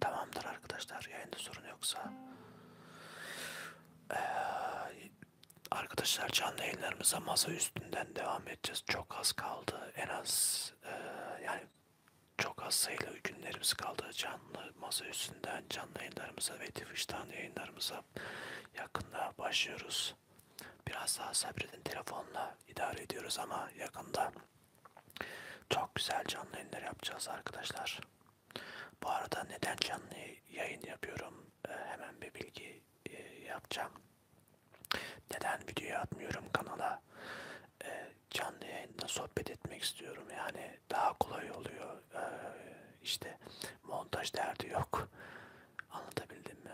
Tamamdır arkadaşlar. Yayında sorun yoksa ee, arkadaşlar canlı yayınlarımıza masa üstünden devam edeceğiz. Çok az kaldı. En az e, yani çok az sayılı günlerimiz kaldı. Canlı masa üstünden canlı yayınlarımıza ve Twitch'ten yayınlarımıza yakında başlıyoruz. Biraz daha sabredin telefonla idare ediyoruz ama yakında çok güzel canlı yayınlar yapacağız arkadaşlar. Bu arada neden canlı yayın yapıyorum? Ee, hemen bir bilgi e, yapacağım. Neden video atmıyorum kanala? Ee, canlı yayında sohbet etmek istiyorum. Yani daha kolay oluyor. Ee, işte montaj derdi yok. Anlatabildim mi?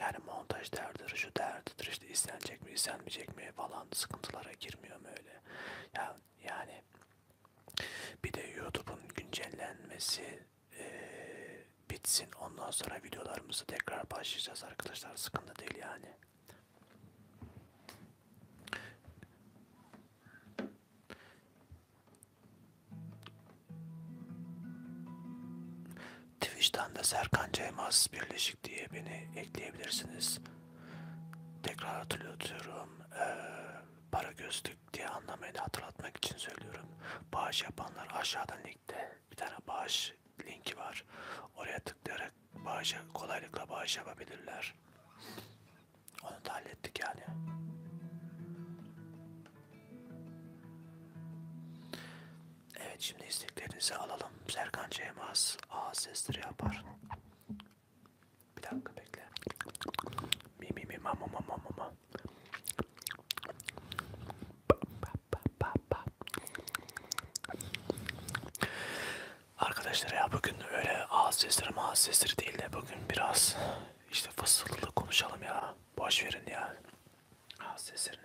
Yani montaj derdidir, şu derdidir, işte istenecek mi, istenmeyecek mi falan sıkıntılara girmiyorum öyle. Ya, yani bir de YouTube'un güncellenmesi e, bitsin. Ondan sonra videolarımızı tekrar başlayacağız arkadaşlar. Sıkıntı değil yani. Twitch'ten de Serkan Ceymaz Birleşik diye beni ekleyebilirsiniz. Tekrar hatırlatıyorum. Ee, Para gözlük diye anlamayı hatırlatmak için söylüyorum. Bağış yapanlar aşağıda linkte bir tane bağış linki var. Oraya tıklayarak bağışa, kolaylıkla bağış yapabilirler. Onu da hallettik yani. Evet şimdi isteklerinizi alalım. Serkan Ceymaz A sesleri yapar. Bir dakika bekle. Mi mi mi ma ma ma ma ma. Arkadaşlar ya bugün öyle ağız sesleri ağız sesleri değil de bugün biraz işte fısıltılı konuşalım ya. Boş verin ya. Ağız seslerini.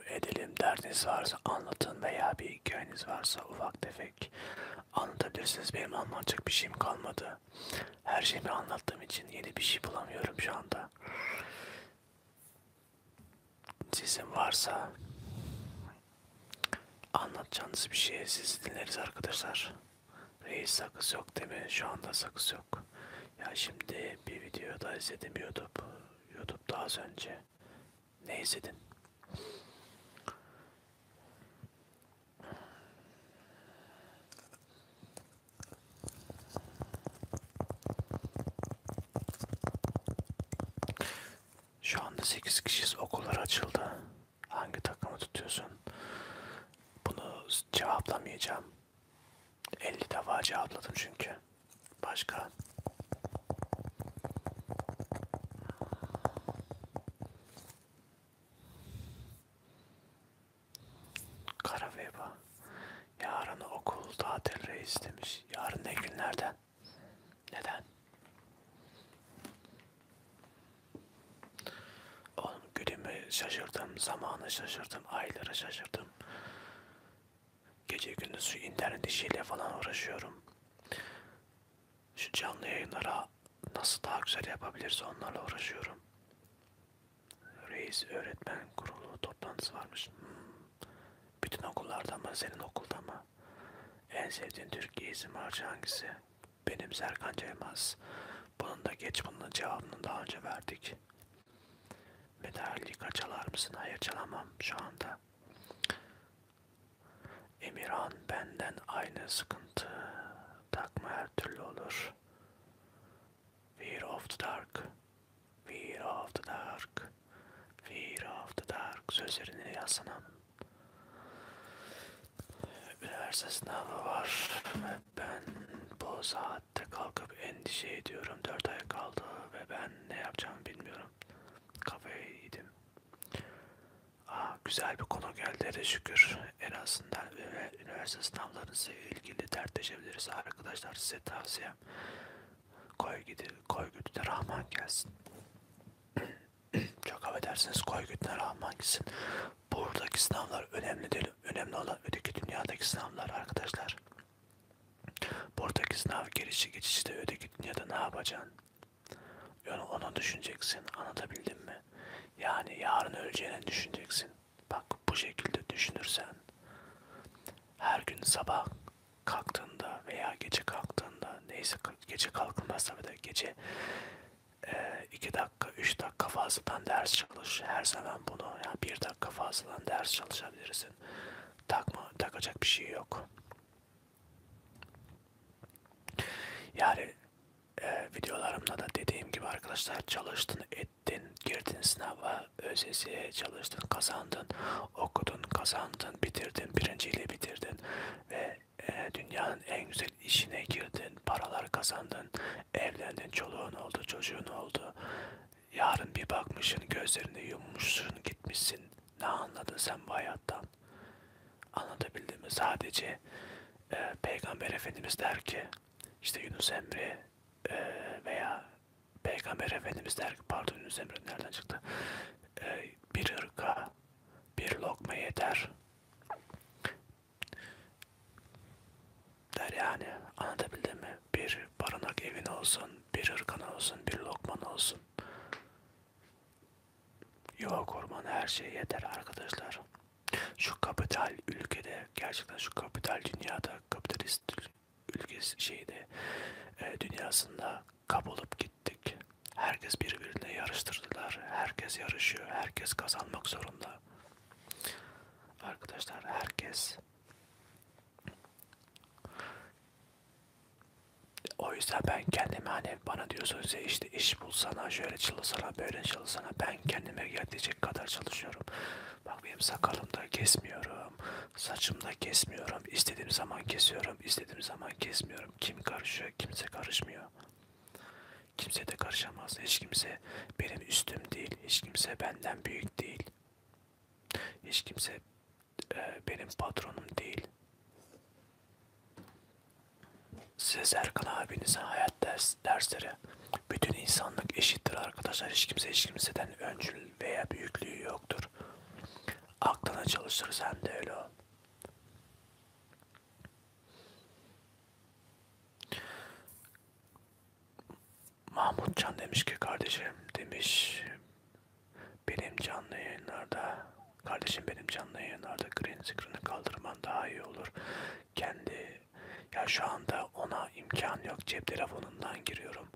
edelim. Derdiniz varsa anlatın veya bir hikayeniz varsa ufak tefek anlatabilirsiniz. Benim anlatacak bir şeyim kalmadı. Her şeyimi anlattığım için yeni bir şey bulamıyorum şu anda. Sizin varsa anlatacağınız bir şey siz dinleriz arkadaşlar. Reis sakız yok değil mi? Şu anda sakız yok. Ya şimdi bir videoda izledim YouTube. YouTube'da az önce ne izledin? Şu anda 8 kişiyiz. Okullar açıldı. Hangi takımı tutuyorsun? Bunu cevaplamayacağım. 50 defa cevapladım çünkü. Başka? Karaveba. Yarın okul tatil reis demiş. Yarın ne günlerden? Neden? Oğlum günümü şaşırdım, zamanı şaşırdım, ayları şaşırdım. Gece gündüz internet işiyle falan uğraşıyorum. Şu canlı yayınlara nasıl daha güzel yapabiliriz onlarla uğraşıyorum. Reis öğretmen kurulu toplantısı varmış. Hmm. Bütün okullarda mı senin okulda mı? En sevdiğin Türkiye isim harcı hangisi? Benim Serkan Ceymaz. Bunun da geç bunun cevabını daha önce verdik. Medalli kaçalar mısın? Hayır çalamam şu anda. Emirhan benden aynı sıkıntı. Takma her türlü olur. Fear of the dark. Fear of the dark. Fear of the dark. Sözlerini yazsana. Üniversite sınavı var ve ben bu saatte kalkıp endişe ediyorum. Dört ay kaldı ve ben ne yapacağımı bilmiyorum. Kafayı yedim. Aa, güzel bir konu geldi de şükür. En azından üniversite sınavlarınızla ilgili dertleşebiliriz arkadaşlar. Size tavsiyem koy gidi, koy güdüne rahman gelsin. Çok affedersiniz koy güdüne rahman gelsin. Buradaki sınavlar önemli değil. Önemli olan öteki dünyadaki sınavlar arkadaşlar. Buradaki sınav girişi geçişi de öteki dünyada ne yapacaksın? Yani onu düşüneceksin. Anlatabildim mi? Yani yarın öleceğini düşüneceksin. Bak bu şekilde düşünürsen her gün sabah kalktığında veya gece kalktığında neyse gece kalkılmaz tabii de gece 2 e, dakika 3 dakika fazladan ders çalış her zaman bunu yani 1 dakika fazladan ders çalışabilirsin takma takacak bir şey yok yani e, videolarımda da dediğim gibi arkadaşlar çalıştın, ettin, girdin sınava, ÖSS'ye çalıştın, kazandın, okudun, kazandın, bitirdin, birinciyle bitirdin ve e, dünyanın en güzel işine girdin, paralar kazandın, evlendin, çoluğun oldu, çocuğun oldu. Yarın bir bakmışsın, gözlerini yummuşsun, gitmişsin ne anladın sen bu hayattan? Anlatabildim mi? Sadece e, Peygamber Efendimiz der ki işte Yunus Emre e, veya Peygamber Efendimiz der ki pardon Yunus Emre nereden çıktı? E, bir ırka bir lokma yeter. Der yani anlatabildim mi? Bir barınak evin olsun, bir ırkan olsun, bir lokman olsun. Yuva kurmanın her şey yeter arkadaşlar. Şu kapital ülkede gerçekten şu kapital dünyada kapitalist ülkesi şeyde e, dünyasında kapılıp gittik. Herkes birbirine yarıştırdılar. Herkes yarışıyor. Herkes kazanmak zorunda. Arkadaşlar herkes o yüzden ben kendime hani bana diyorsunuz ya işte iş bulsana şöyle çalışsana böyle çalışsana ben kendime gelecek kadar çalışıyorum. Bak benim sakalımda kesmiyorum, saçımda kesmiyorum, istediğim zaman kesiyorum, istediğim zaman kesmiyorum. Kim karışıyor, kimse karışmıyor. Kimse de karışamaz. Hiç kimse benim üstüm değil, hiç kimse benden büyük değil. Hiç kimse e, benim patronum değil. Size Serkan abinize hayat ders, dersleri. Bütün insanlık eşittir arkadaşlar. Hiç kimse hiç kimseden öncül veya büyüklüğü yoktur. Aklına çalışır sen de öyle ol. Mahmutcan demiş ki kardeşim demiş benim canlı yayınlarda, kardeşim benim canlı yayınlarda green screen'i kaldırman daha iyi olur. Kendi, ya şu anda ona imkan yok. Cep telefonundan giriyorum.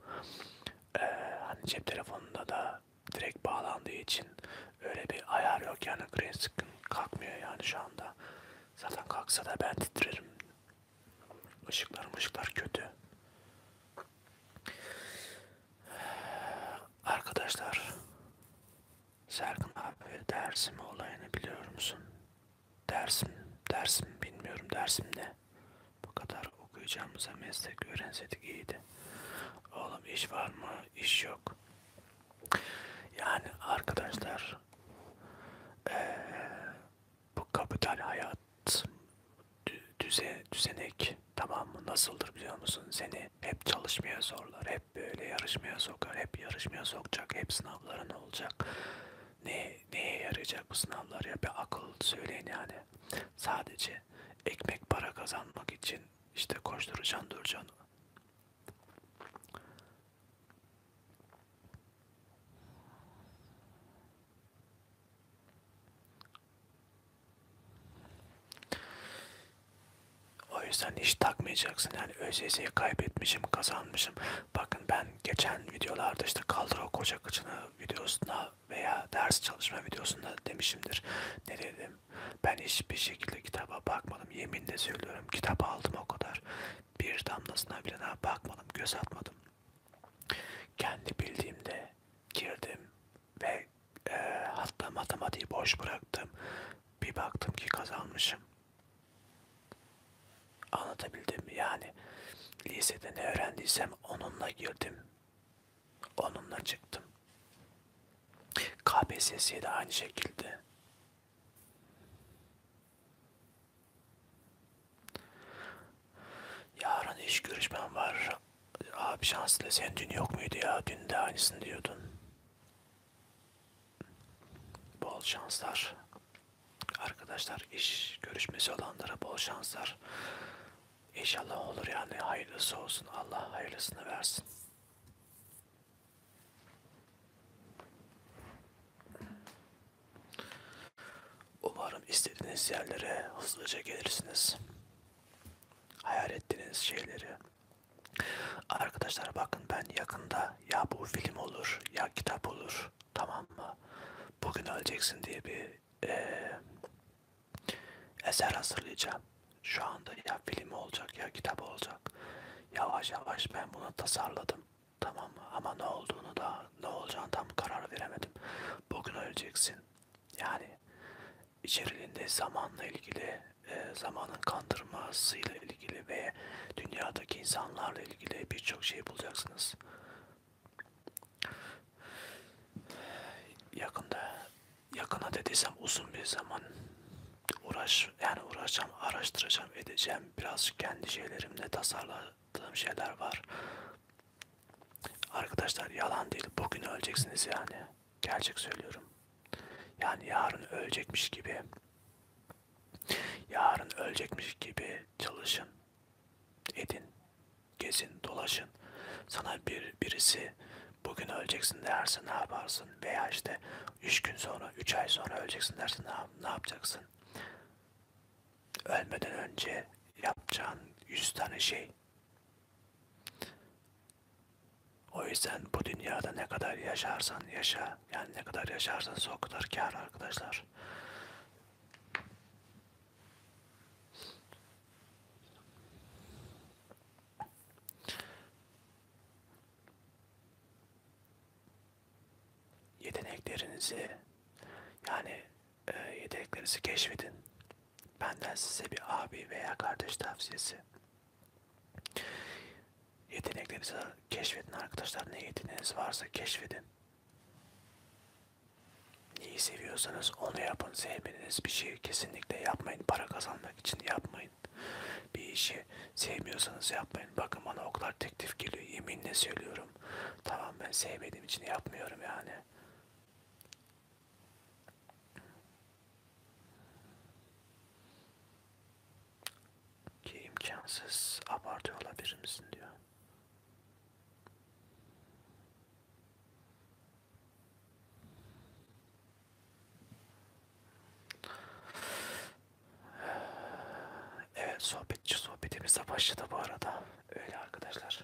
Ee, hani cep telefonunda da direkt bağlandığı için öyle bir ayar yok yani green screen kalkmıyor yani şu anda. Zaten kalksa da ben titrerim. Işıklar ışıklar kötü. Arkadaşlar Serkan abi Dersim olayını biliyor musun? Dersim, Dersim bilmiyorum Dersim ne? Bu kadar okuyacağımıza meslek öğrenseydik iyiydi. Oğlum iş var mı? İş yok. Yani arkadaşlar ee, bu kapital hayat düze, düzenek tamam mı nasıldır biliyor musun seni hep çalışmaya zorlar hep böyle yarışmaya sokar hep yarışmaya sokacak hep sınavların olacak ne neye yarayacak bu sınavlar ya bir akıl söyleyin yani sadece ekmek para kazanmak için işte koşturacaksın duracaksın o yüzden hiç takmayacaksın yani ÖSS'yi kaybetmişim kazanmışım. Bakın ben geçen videolarda işte kaldıra koca kıçını videosunda veya ders çalışma videosunda demişimdir. Ne dedim? Ben hiçbir şekilde kitaba bakmadım. Yeminle söylüyorum kitap aldım o kadar. Bir damlasına bile daha bakmadım göz atmadım. Kendi bildiğimde girdim ve e, hatta matematiği boş bıraktım. Bir baktım ki kazanmışım. Anlatabildim mi? Yani lisede ne öğrendiysem onunla girdim. Onunla çıktım. KPSS'ye de aynı şekilde. Yarın iş görüşmem var. Abi şanslı sen dün yok muydu ya? Dün de aynısını diyordun. Bol şanslar. Arkadaşlar iş görüşmesi olanlara bol şanslar. İnşallah olur yani hayırlısı olsun. Allah hayırlısını versin. Umarım istediğiniz yerlere hızlıca gelirsiniz hayal ettiğiniz şeyleri. Arkadaşlar bakın ben yakında ya bu film olur ya kitap olur tamam mı? Bugün öleceksin diye bir e, eser hazırlayacağım. Şu anda ya film olacak ya kitap olacak. Yavaş yavaş ben bunu tasarladım. Tamam mı? Ama ne olduğunu da ne olacağını tam karar veremedim. Bugün öleceksin. Yani içeriğinde zamanla ilgili, e, zamanın kandırmasıyla ilgili ve dünyadaki insanlarla ilgili birçok şey bulacaksınız. Yakında, yakına dediysem uzun bir zaman uğraş, yani uğraşacağım, araştıracağım, edeceğim. Biraz kendi şeylerimle tasarladığım şeyler var. Arkadaşlar yalan değil, bugün öleceksiniz yani. Gerçek söylüyorum. Yani yarın ölecekmiş gibi yarın ölecekmiş gibi çalışın, edin, gezin, dolaşın. Sana bir birisi bugün öleceksin derse ne yaparsın? Veya işte üç gün sonra, üç ay sonra öleceksin derse ne, ne yapacaksın? Ölmeden önce yapacağın yüz tane şey. O yüzden bu dünyada ne kadar yaşarsan yaşa. Yani ne kadar yaşarsan o kadar kar arkadaşlar. Yeteneklerinizi yani e, yeteneklerinizi keşfedin. Benden size bir abi veya kardeş tavsiyesi. Yeteneklerinizi keşfedin arkadaşlar. Ne yeteneğiniz varsa keşfedin. Neyi seviyorsanız onu yapın. Sevmediğiniz bir şeyi kesinlikle yapmayın. Para kazanmak için yapmayın. Bir işi sevmiyorsanız yapmayın. Bakın bana o kadar teklif geliyor. Yeminle söylüyorum. Tamam ben sevmediğim için yapmıyorum yani. Ki imkansız abartıyor olabilir misin diyor. Evet sohbetçi sohbetimize başladı bu arada. Öyle arkadaşlar.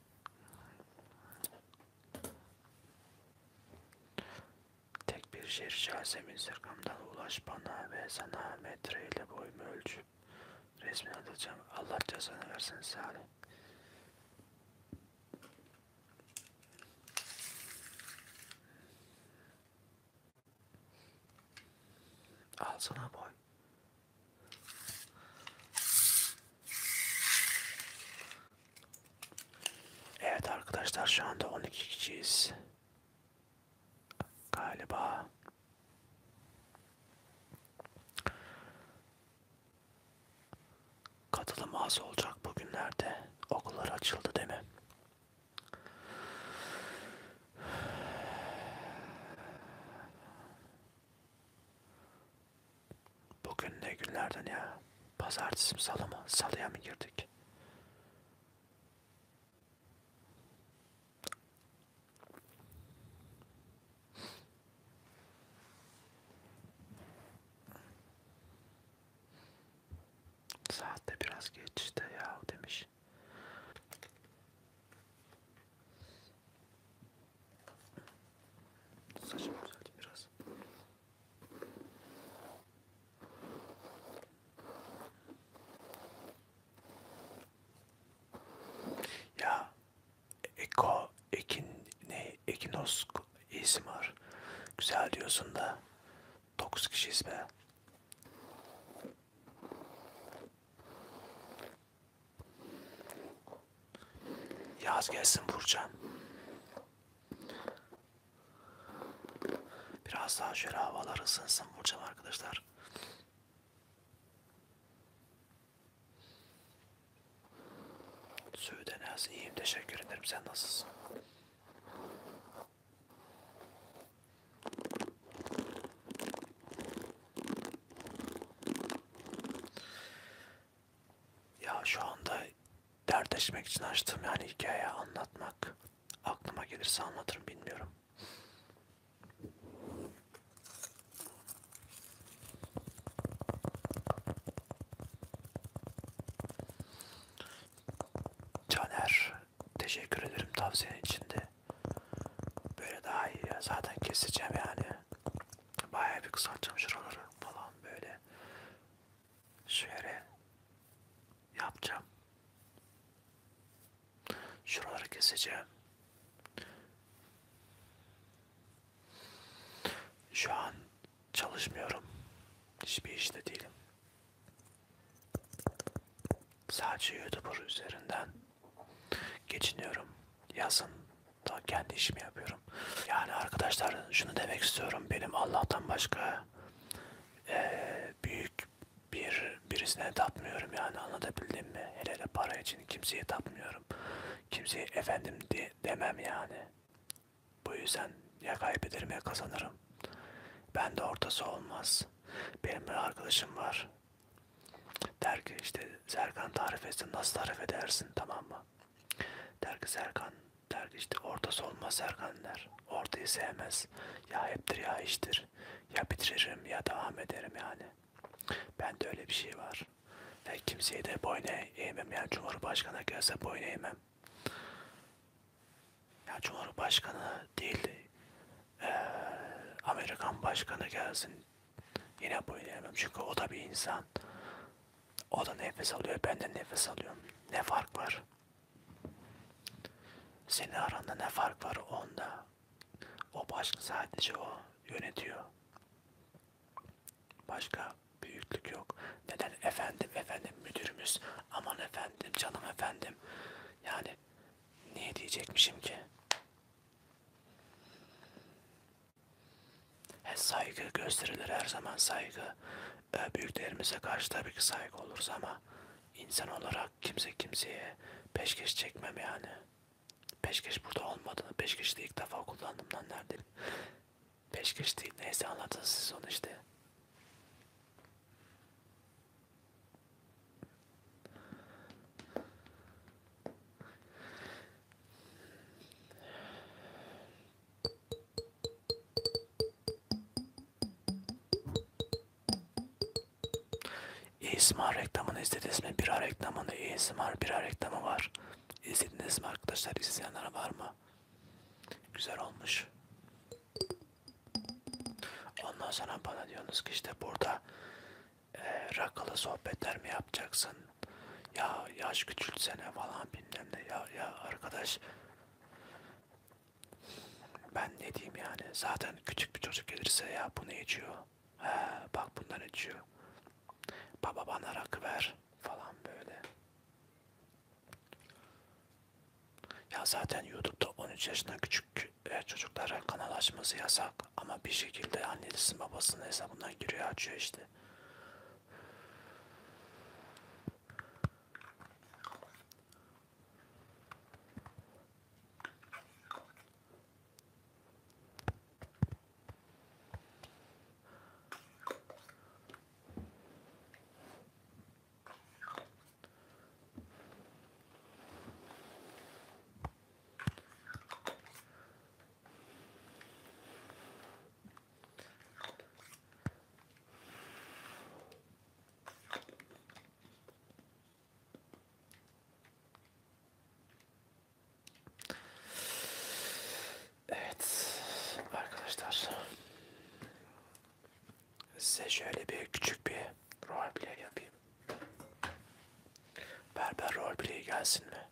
Tek bir şiir şasemin sırkamdan ulaş bana ve sana metreyle boyumu ölçüp resmini atacağım. Allah cezanı versin Salih. Al sana boy. Evet arkadaşlar şu anda 12 kişiyiz. Galiba. Katılım az olacak bugünlerde. Okullar açıldı değil mi? Bugün ne günlerden ya? Pazartesi mi salı mı? Salıya mı girdik? Saatte biraz geç işte ya demiş. Saçım düzeldi biraz. Ya Eko, Ekin, ne? Ekinos isim var. Güzel diyorsun da. 9 kişiyiz be. Yaz gelsin Burcan. Biraz daha şöyle havalar ısınsın Burcan arkadaşlar. Söğüden az iyiyim teşekkür ederim sen nasılsın? Ya şu anda dertleşmek için açtığım yani hikaye anlatmak aklıma gelirse anlatırım bilmiyorum. Caner teşekkür ederim tavsiyen içinde. Böyle daha iyi ya. Zaten keseceğim yani. Bayağı bir kısaltacağım şuraları falan böyle. Şöyle yapacağım. Şuraları keseceğim. Şu an çalışmıyorum. Hiçbir işte değilim. Sadece YouTuber üzerinden Geçiniyorum. Yazın da kendi işimi yapıyorum. Yani arkadaşlar şunu demek istiyorum. Benim Allah'tan başka e, büyük bir birisine tapmıyorum yani anlatabildim mi? Hele hele para için kimseye tapmıyorum. Kimseye efendim de, demem yani. Bu yüzden ya kaybederim ya kazanırım. Ben de ortası olmaz. Benim bir arkadaşım var. Der ki işte Serkan tarif etsin nasıl tarif edersin tamam mı? Der ki Serkan der ki işte ortası olmaz Serkan der. Ortayı sevmez. Ya heptir ya iştir. Ya bitiririm ya devam ederim yani. Ben de öyle bir şey var. Ve kimseye de boyun eğmem. Yani Cumhurbaşkanı gelse boyun eğmem. Ya Cumhurbaşkanı değil e, Amerikan başkanı gelsin Yine boyun eğmem çünkü o da bir insan. O da nefes alıyor, ben de nefes alıyorum. Ne fark var? Senin aranda ne fark var onda? O başka sadece o yönetiyor. Başka büyüklük yok. Neden efendim efendim müdürümüz aman efendim canım efendim yani niye diyecekmişim ki? He, saygı gösterilir her zaman saygı. E, büyüklerimize karşı tabii ki saygı oluruz ama insan olarak kimse kimseye peşkeş çekmem yani. Peşkeş burada olmadığını, peşkeş de ilk defa kullandım lan nerede? Peşkeş değil, neyse anladınız siz onu işte. ASMR reklamını izlediniz mi? Bira reklamında ASMR bira reklamı var. İzlediniz mi arkadaşlar? İzleyenler var mı? Güzel olmuş. Ondan sonra bana diyorsunuz ki işte burada e, ee, rakalı sohbetler mi yapacaksın? Ya yaş küçültsene falan bilmem ne. Ya, ya arkadaş ben ne diyeyim yani zaten küçük bir çocuk gelirse ya bu ne içiyor? He, bak bundan içiyor. Baba bana rakı ver falan böyle. Ya zaten YouTube'da 13 yaşından küçük e, çocuklara kanal açması yasak yasak ama bir şekilde annesi babasının hesabından giriyor açıyor işte. Evet arkadaşlar size şöyle bir küçük bir roleplay yapayım. Berber roleplay gelsin mi?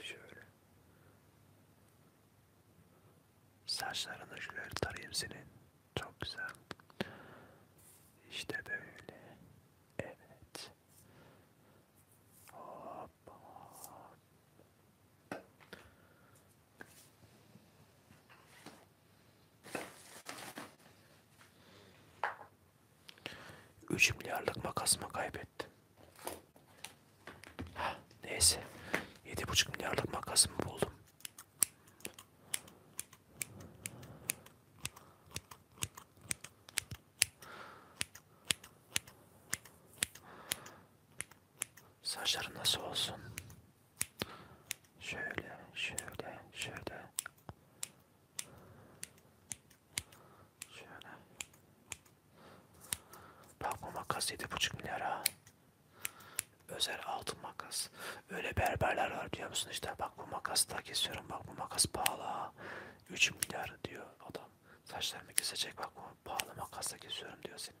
Şöyle. Saçlarını şöyle tarayayım senin. Çok güzel. İşte böyle. Evet. Hop hop. 3 milyarlık makasımı kaybettim. Heh, neyse. 7,5 milyarlık makasımı buldum. Saçların nasıl olsun? Şöyle, şöyle, şöyle. Şöyle. Bak bu makas 7,5 milyara. Özel altın makas. Öyle berberler var biliyor musun işte. Bak bu makas da kesiyorum. Bak bu makas pahalı. 3 milyar diyor adam. Saçlarımı kesecek. Bak bu pahalı makasla kesiyorum diyor senin.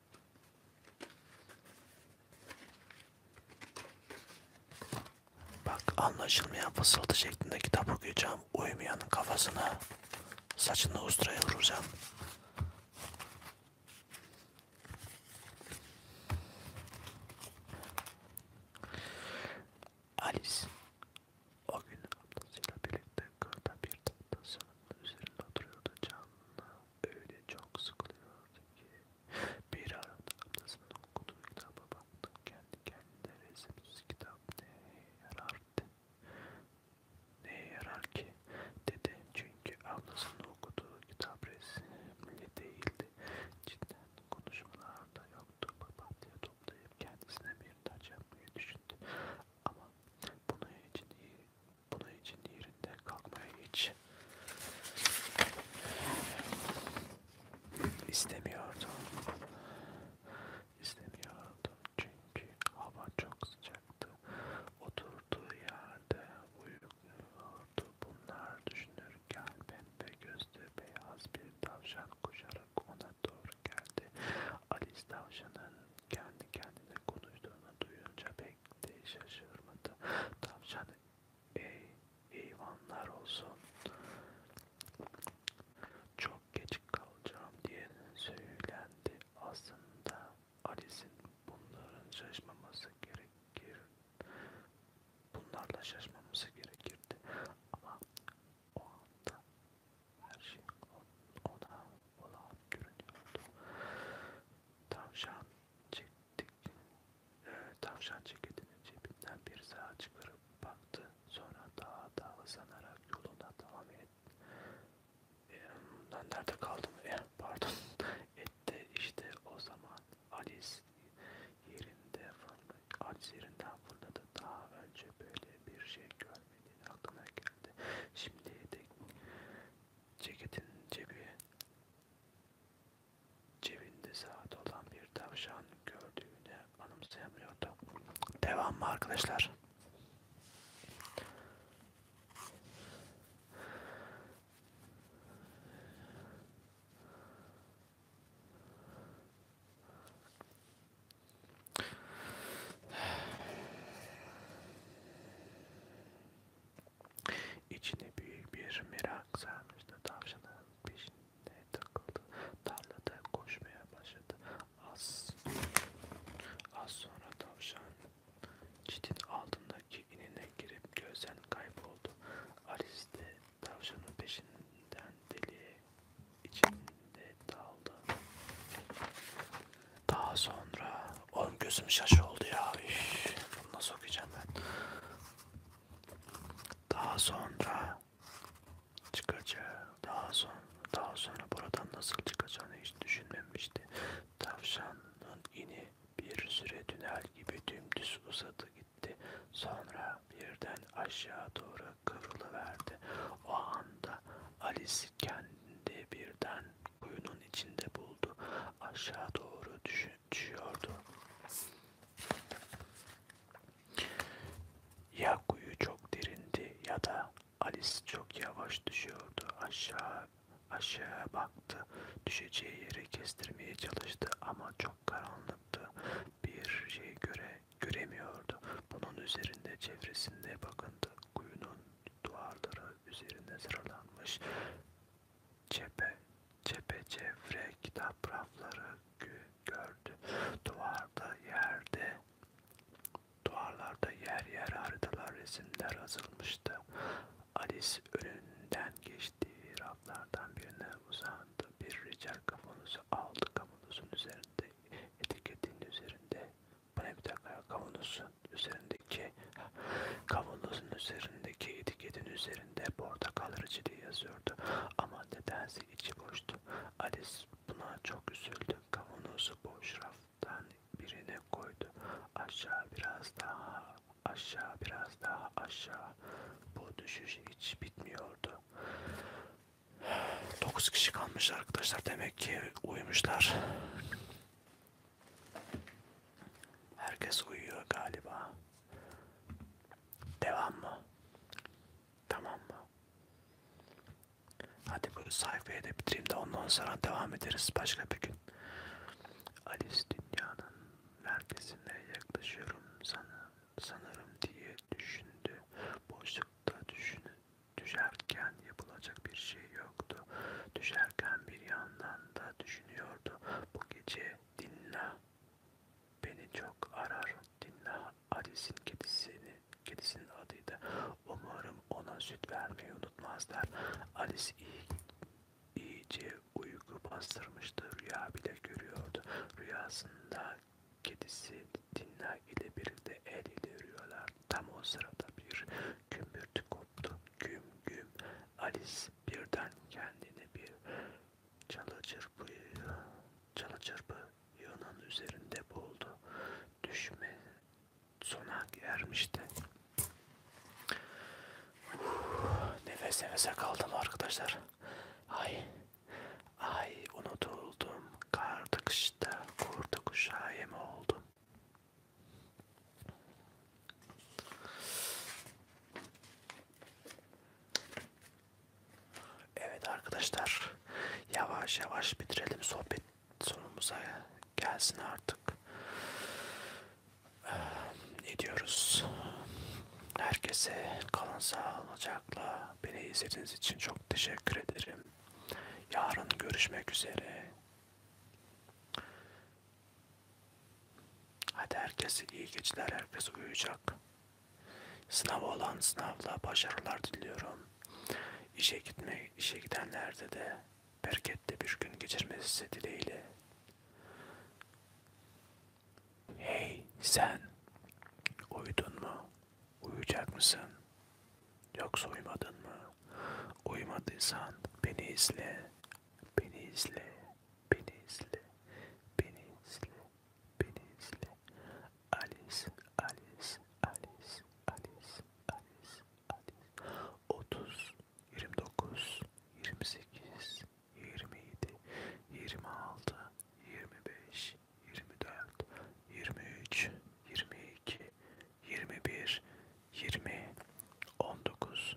Bak anlaşılmayan fısıltı şeklinde kitap okuyacağım. Uyumayanın kafasına saçını usturaya vuracağım. Alice o gün ablasıyla birlikte kırda bir tahtasının üzerinde oturuyordu canlı öyle çok sıkılıyordu ki bir ara ablasının okuduğu kitaba baktı kendi kendine resimsiz kitap neye yarardı neye yarar ki dedi çünkü ablasının okuduğu kitap resimli değildi cidden konuşmalarda yoktu papatya toplayıp kendisine bir taç yapmayı düşündü ama bunu için iyi bunun için yerinde kalkmaya hiç istemiyordum. İstemiyordum çünkü hava çok sıcaktı. Oturduğu yerde uyukluyordu. Bunlar düşünürken pembe gözlü beyaz bir tavşan koşarak ona doğru geldi. Alice tavşanın kendi kendine konuştuğunu duyunca pek pek de şaşırmadı. Tavşan ey eyvanlar olsun. Çok geç kalacağım diye söylendi. Aslında Alice'in bunların şaşmaması gerekir. Bunlarla şaşmaması gerekirdi. Ama o anda her şey ona olağan görünüyordu. Tavşan çektik. E, tavşan ceketinin cebinden bir sağa çıkarıp baktı. Sonra daha da hızlanarak yoluna devam etti. E, ee, ben nerede kaldım? E, pardon. Etti işte o zaman Alice yerinde fırladı. Alice yerinden fırladı. Daha önce böyle bir şey görmediğini aklına geldi. Şimdi de ceketin cebi Cebinde saat olan bir tavşan gördüğünü anımsayamıyordu. Devam mı arkadaşlar? İçine büyük bir merak sarmıştı. Tavşanın peşine takıldı. Tarlada koşmaya başladı. Az, az sonra tavşan çitin altındaki inine girip gözden kayboldu. Alice de tavşanın peşinden deli içinde daldı. Daha sonra Oğlum gözüm şaşı oldu ya. Üff, bunu nasıl okuyacağım ben? Daha sonra çıkacağım. Daha sonra daha sonra buradan nasıl çıkacağını hiç düşünmemişti. Tavşanın ini bir süre tünel gibi dümdüz uzadı gitti. Sonra birden aşağı doğru kıvrılıverdi. O anda Alice kendi birden kuyunun içinde buldu. Aşağı doğru düşüyordu. Ya kuyu çok derindi ya da Alice çok yavaş düşüyordu. Aşağı aşağı baktı. Düşeceği yeri kestirmeye çalıştı ama çok karanlıktı. Bir şey göre göremiyordu. Bunun üzerinde çevresinde bakındı. Kuyunun duvarları üzerine sıralanmış Cephe, cephe çevre kitap rafları gördü. Duvarda yerde, duvarlarda yer yer haritalar, resimler asılmıştı. Alice önünden geçtiği raflardan birine uzandı. Bir rica kavanozu aldı. Kavanozun üzerinde etiketinin üzerinde bu ne bir dakika kavanozu üzerindeki kavanozun üzerindeki etiketin üzerinde portakal reçeli yazıyordu ama nedense içi boştu. Alice buna çok üzüldü. Kavanozu boş raftan birine koydu. Aşağı biraz daha, aşağı biraz daha, aşağı. Bu düşüş hiç bitmiyordu. 9 kişi kalmış arkadaşlar demek ki uyumuşlar. Herkes uyuyor galiba. Devam mı? Tamam mı? Hadi bu sayfayı da bitireyim de ondan sonra devam ederiz başka bir gün. Alice dünyanın merkezine yaklaşıyorum sana, sanırım diye düşündü. Boşlukta düşünü, düşerken yapılacak bir şey yoktu. Düşerken bir yandan anda düşünüyordu. Bu gece Dinla beni çok arar. Dinla Alice'in kedisini, kedisinin adıydı. Umarım ona süt vermeyi unutmazlar. Alice iyi, iyice uyku bastırmıştı. Rüya bile görüyordu. Rüyasında kedisi Dinla ile birlikte el ileriyorlar. Tam o sırada bir kümbürtü koptu. Güm güm Alice birden kendini bir çalı çırpı, çalı çırpı yığının üzerinde buldu. Düşme sona ermişti. Uf, nefes nefese kaldım arkadaşlar. Ay, ay unutuldum. Kartı kışta kurdu kuşağı yem oldum. Evet arkadaşlar yavaş yavaş bitirelim sohbet sonumuza gelsin artık. Ne diyoruz? Herkese kalın sağlıcakla beni izlediğiniz için çok teşekkür ederim. Yarın görüşmek üzere. Hadi herkese iyi geceler, herkes uyuyacak. Sınav olan sınavla başarılar diliyorum. İşe gitme, işe gidenlerde de bereketli bir gün geçirmesi dileğiyle. Hey sen, uyudun mu? Uyuyacak mısın? Yoksa uyumadın mı? Uyumadıysan beni izle, beni izle beni izle, beni izle, beni izle. Alice, Alice, Alice, Alice, Alice, Alice. 30, 29, 28, 27, 26, 25, 24, 23, 22, 21, 20, 19,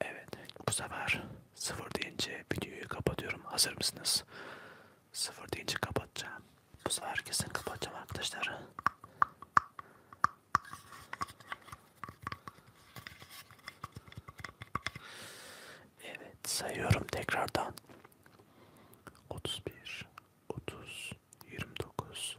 Evet bu sefer sıfır deyince videoyu kapatıyorum. Hazır mısınız? Sıfır deyince kapatacağım. Bu sefer kesin kapatacağım arkadaşlar. Evet sayıyorum tekrardan. 31 30 29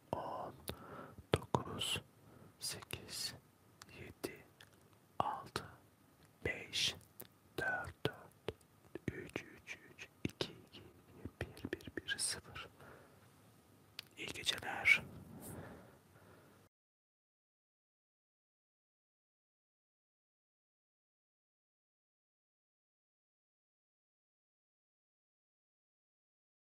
on, dokuz, sekiz, yedi, altı, beş, dört, dört, üç, üç, üç, iki, iki, bir, bir, bir, sıfır. İyi geceler.